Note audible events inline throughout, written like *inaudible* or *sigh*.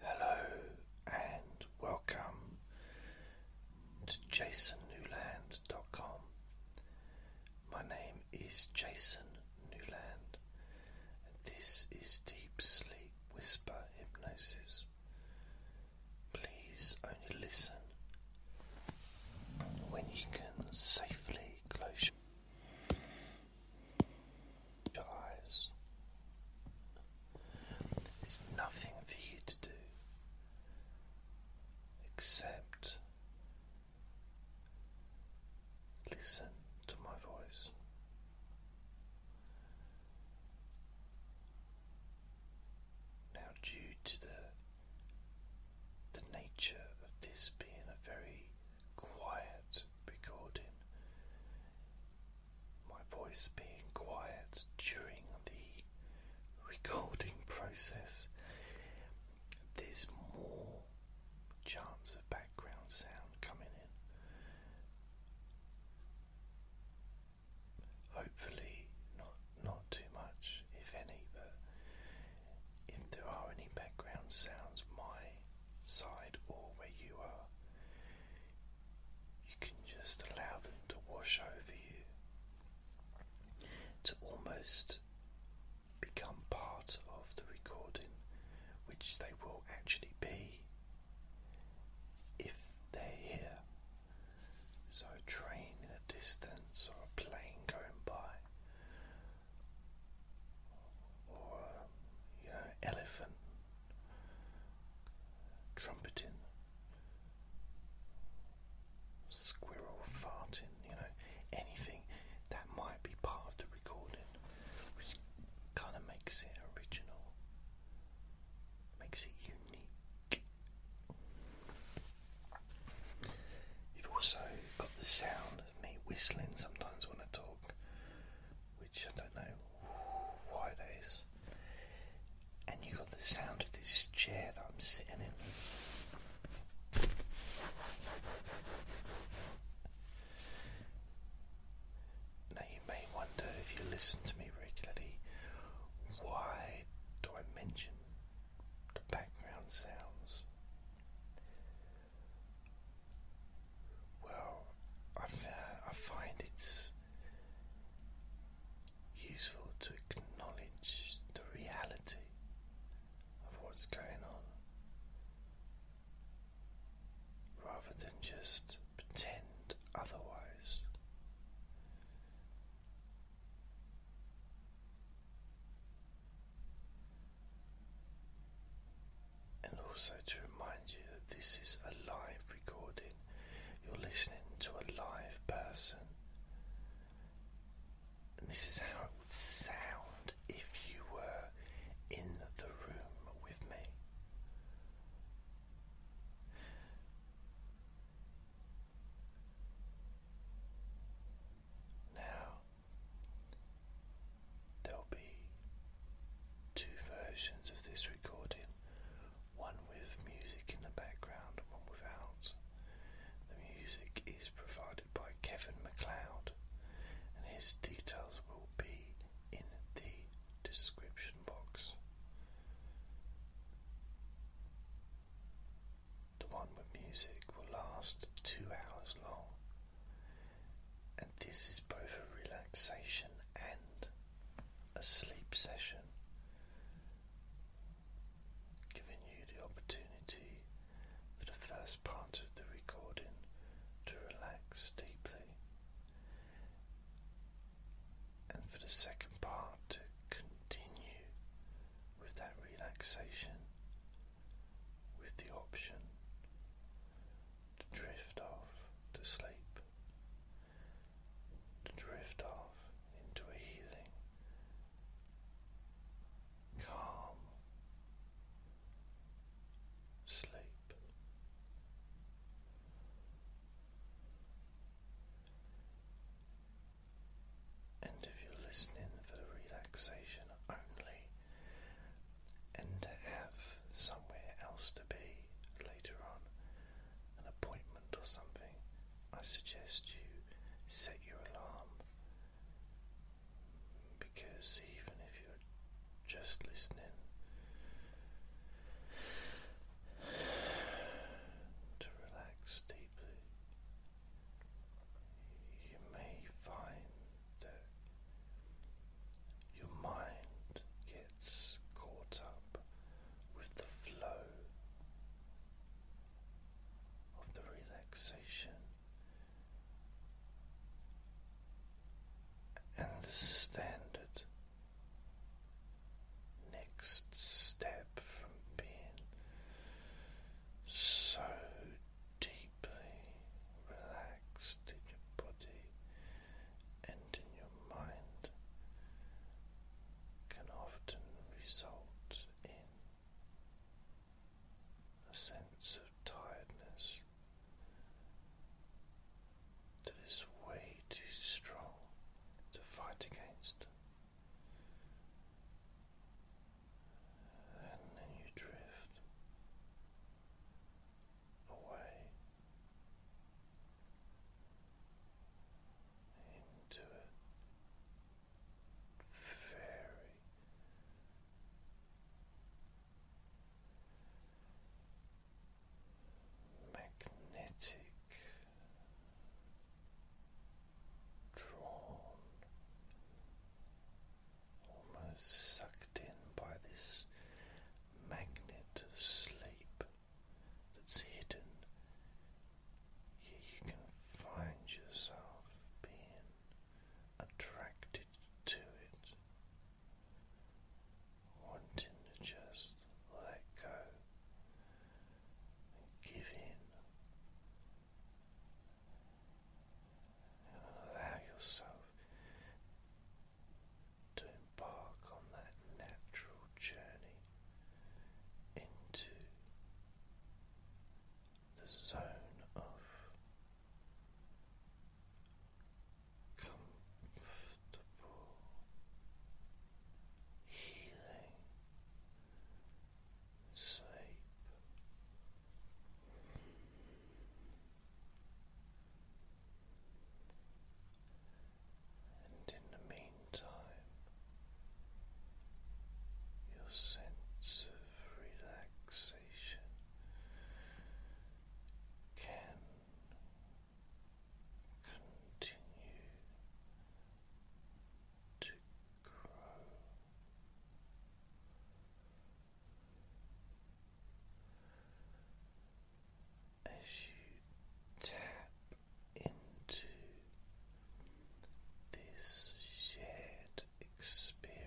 Hello and welcome to jasonnewland.com. My name is Jason Newland, and this is Deep Sleep Whisper Hypnosis. Please only listen when you can safely close your your There's nothing for you to do except listen to my voice. Now, due to the the nature of this being a very quiet recording, my voice being quiet during the recording *laughs* process, there's more chance of background sound coming in. Hopefully, not not too much, if any, but if there are any background sounds, my side or where you are, you can just allow them to wash over you, to almost become part of the recording, which they will actually be if they're here. So, a train in the distance, or a plane going by, or you know, elephant trumpeting, squirrel farting, you know, anything that might be part of the recording, which kind of makes it original, makes it unique. You've also got the sound of me whistling sometimes when I talk, which I don't know wide A's. And you got the sound of this chair that I'm sitting in. Now, you may wonder if you listen to me regularly, why do I mention the background sounds? Well, I, I find it's useful to acknowledge the reality of what's going on rather than just pretend otherwise and also to remind you that this is a live recording. You're listening to a live person, and this is how it would sound if you were in the room with me. Now, there'll be two versions of this recording one with music in the background one without. The music is provided by Kevin McLeod, and his details will be in the description box. The one with music will last two hours long and this is both a relaxation and a sleep session, giving you the opportunity for the first part of the recording to relax deeply, and for the second part to continue with that relaxation with the option to drift off to sleep, to drift off into a healing, calm sleep. And if you're listening for the relaxation only, and have somewhere else to be later on, an appointment or something, I suggest you set your alarm because even if you're just listening to relax deeply, you may find that your mind gets caught up with the flow of the relaxation and the standard next step from being so deeply relaxed in your body and in your mind can often result in a sense of tiredness that is way too strong to fight against. And then you drift away into a very magnetic drawn almost sucked in by this magnet of sleep that's hidden. Here you can find yourself being attracted to it, wanting to just let go and give in and allow yourself to embark on that natural journey into the zone of comfortable healing sleep. And in the meantime, your sense of relaxation can continue to grow as you tap into this shared experience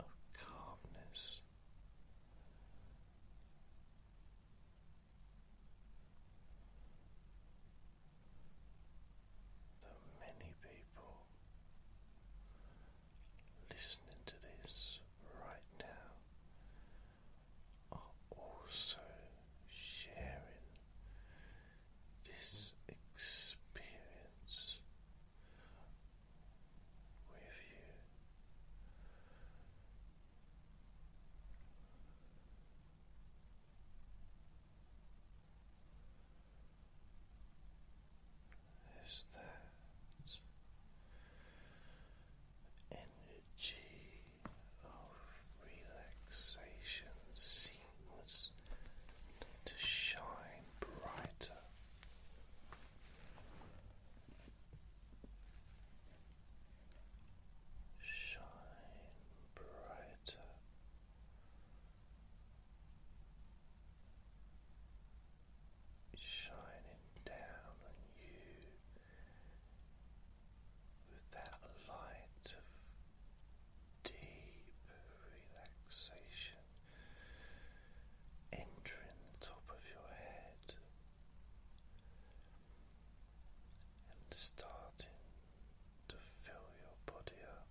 of calmness. That many people listening to this right now are also sharing this experience with you. Is that energy of relaxation seems to shine brighter. Shine brighter shining down on you with that light of deep relaxation entering the top of your head and starting to fill your body up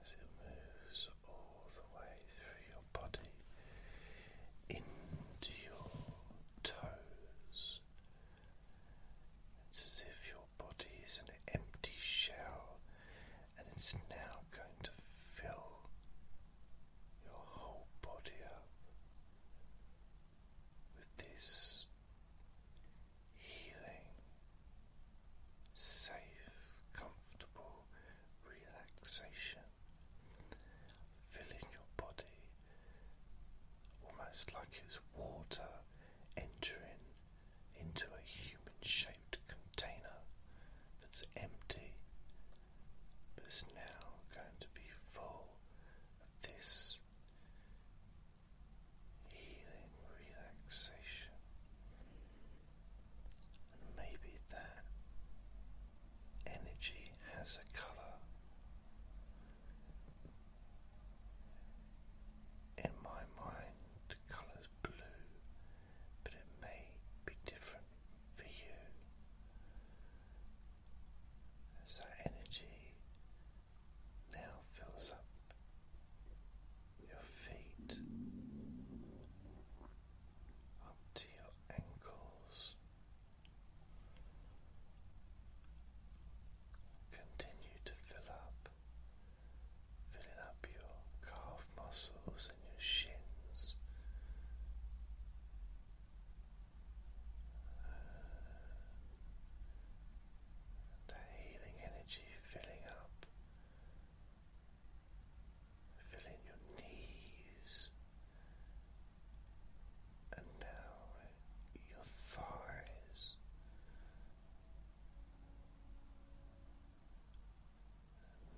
as it moves all the way through your body into your toes. It's as if your body is an empty shell and it's now going to fill your whole body up with this healing, safe, comfortable relaxation, filling your body almost like it's water entering into a human shaped container that's empty, but is now going to be full of this healing relaxation, and maybe that energy has a color. In my mind, the color's blue, but it may be different for you. As energy now fills up your feet up to your ankles. Continue to fill up, filling up your calf muscles and your shins that healing energy filling up, filling your knees, and now your thighs.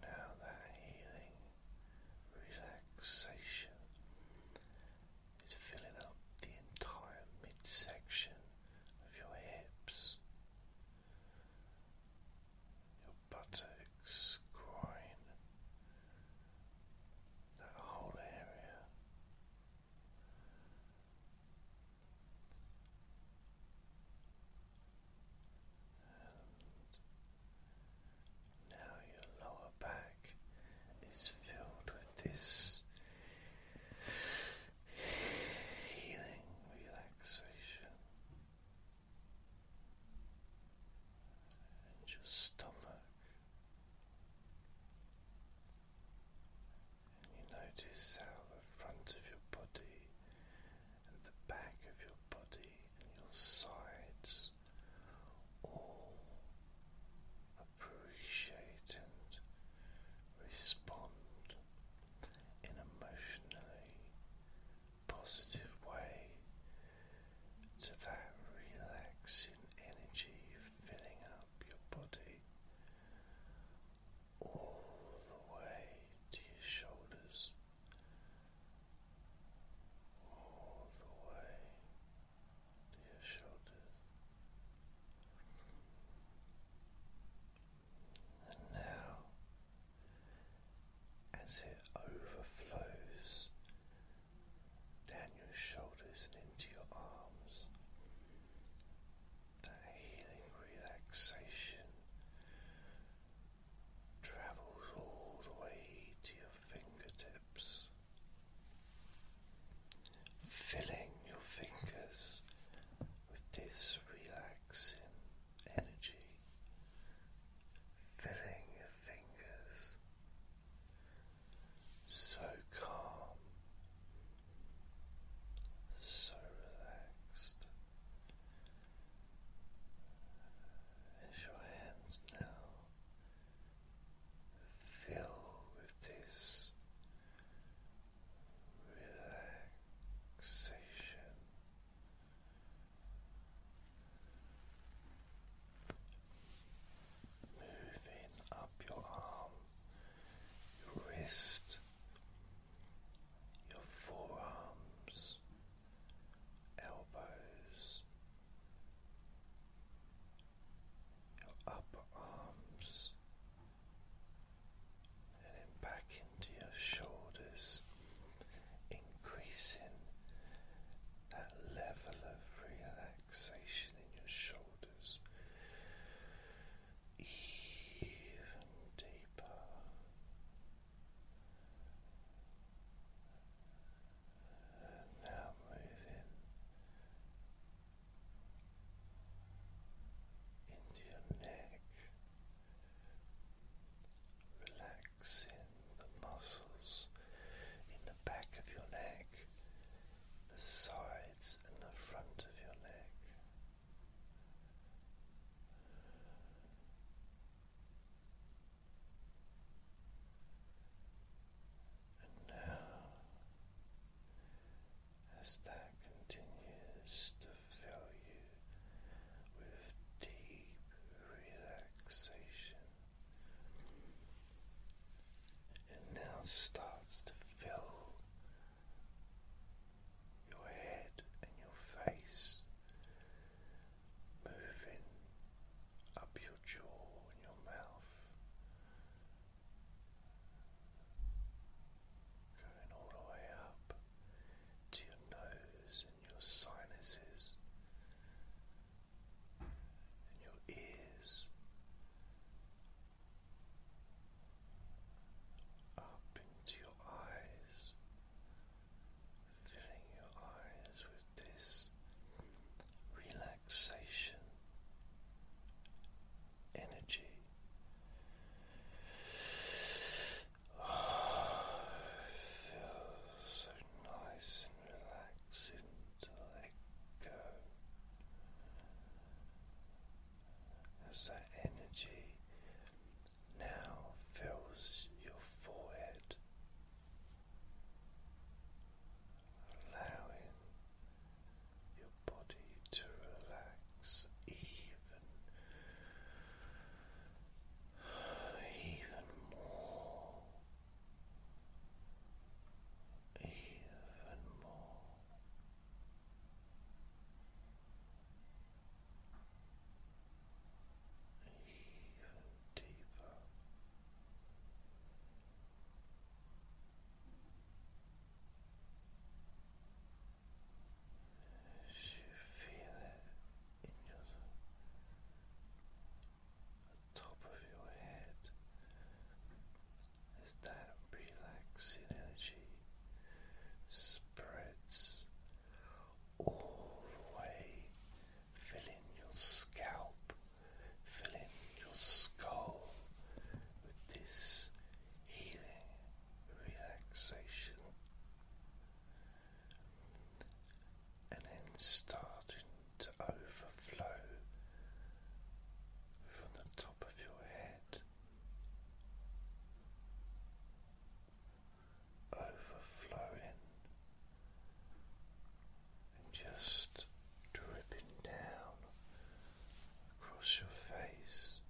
Now that healing relaxation is filling up the entire midsection of your hips, your buttocks, groin, that whole area. And now your lower back is filled with this healing relaxation. And your stomach, and you notice how the front of your body, and the back of your body, and your sides all appreciate and respond in an emotionally positive way to that relaxing energy filling up your body all the way to your shoulders. All the way your shoulders. And now, as it overflows down your shoulders and into your arms, that healing relaxation travels all the way to your fingertips filling your fingers with this relaxing energy, filling your fingers so calm, so relaxed. As your hands now fill with this relaxation. Moving up your arm, your wrist, your forearms, elbows, your upper arms and then back into your shoulders, increasing that level of relaxation in your shoulders even deeper. And now moving into your neck, relaxing the muscles in the back of your neck, the sides and the front of your neck. And now as that continues to fill you with deep relaxation. It now starts to fill your head and your face, moving up your jaw and your mouth. Going all the way up to your nose and your sinuses and your ears, up into your eyes, filling your eyes with this relaxation relaxation, energy. feels so nice and relaxing to let go as that energy now fills your forehead, allowing your body to relax even even more even more even deeper as you feel it in your top of your head as that relaxing energy spreads all the way filling your scalp filling your skull with this healing relaxation, and then starting to overflow from the top of your head. Overflowing just dripping down across your face,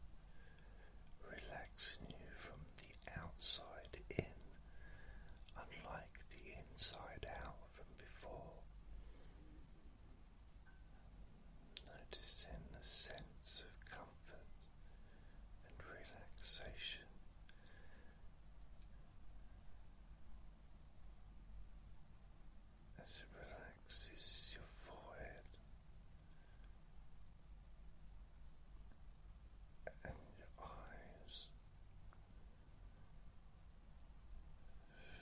relaxing you from the outside in, unlike the inside out from before. Noticing a sense of comfort and relaxation as it relaxes your forehead and your eyes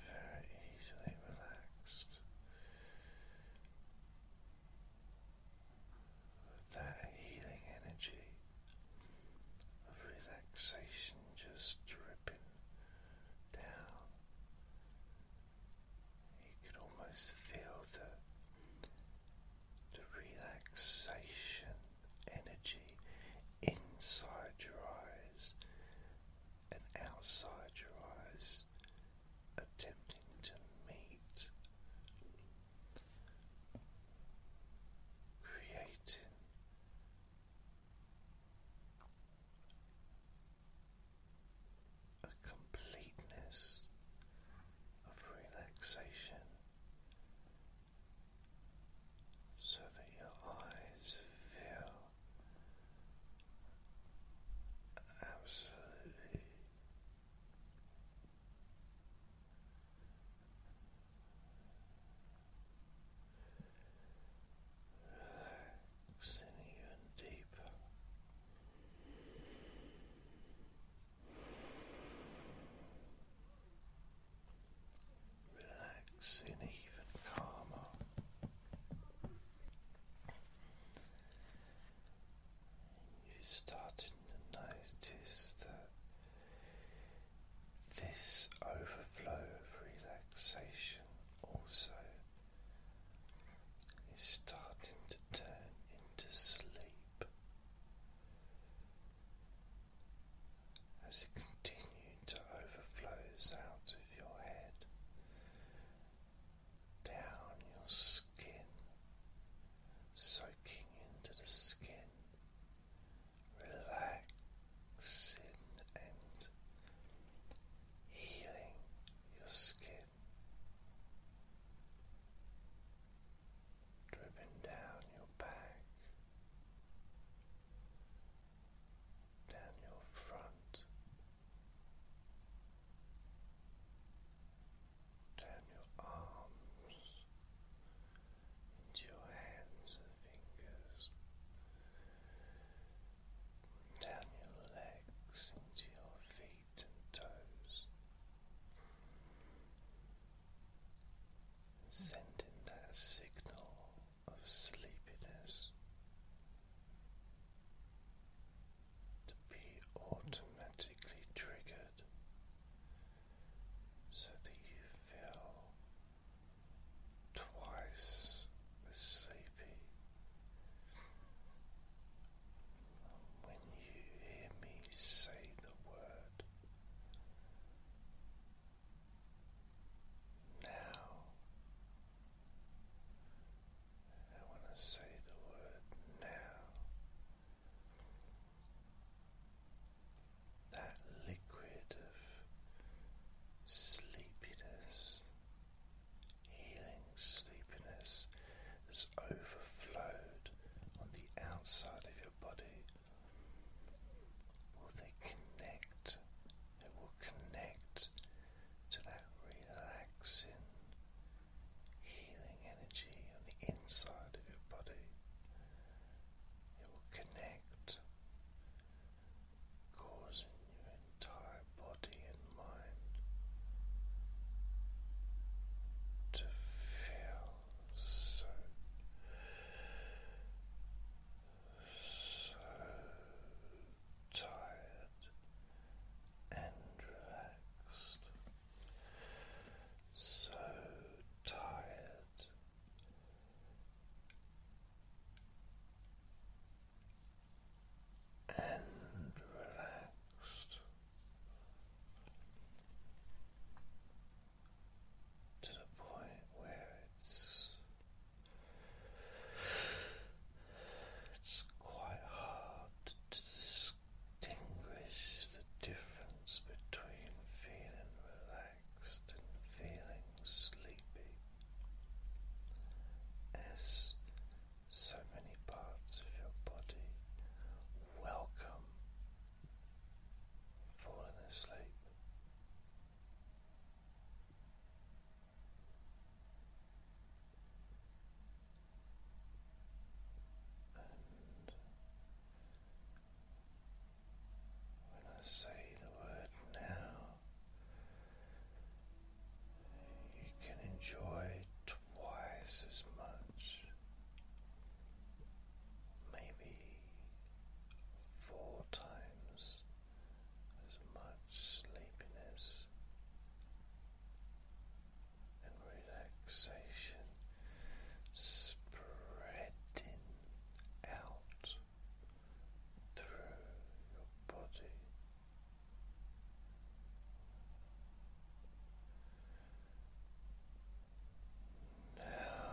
very easily relaxed with that healing energy of relaxation just dripping down. You could almost feel the the relaxation energy inside your eyes and outside your eyes attempting to meet creating a completeness of relaxation so that your eyes feel absolutely Relaxing even deeper. Relaxing even calmer. you starting to notice that this overflow of relaxation also is starting to turn into sleep as it continues to overflows out of your head down your skin soaking into the skin relaxing and healing your skin, dripping down your back, down your front, down your arms. Into your hands down your legs into your feet and toes. Sending that signal of sleepiness to be automatically triggered so that you feel twice sleepy. When you hear me say the word, now, and when I say the word now, that liquid of sleepiness, healing sleepiness that's overflowed on the outside of your body. Will they connect? It will connect to that relaxing, healing energy on the inside of your body. It will connect causing your entire body and mind to feel so, so tired and relaxed, so tired and relaxed to the point where it's it's quite hard to distinguish the difference between feeling relaxed and feeling sleepy as so many parts of your body welcome falling asleep. When I say the word now, you can enjoy twice as much, maybe four times as much sleepiness and relaxation spreading out through your body. Now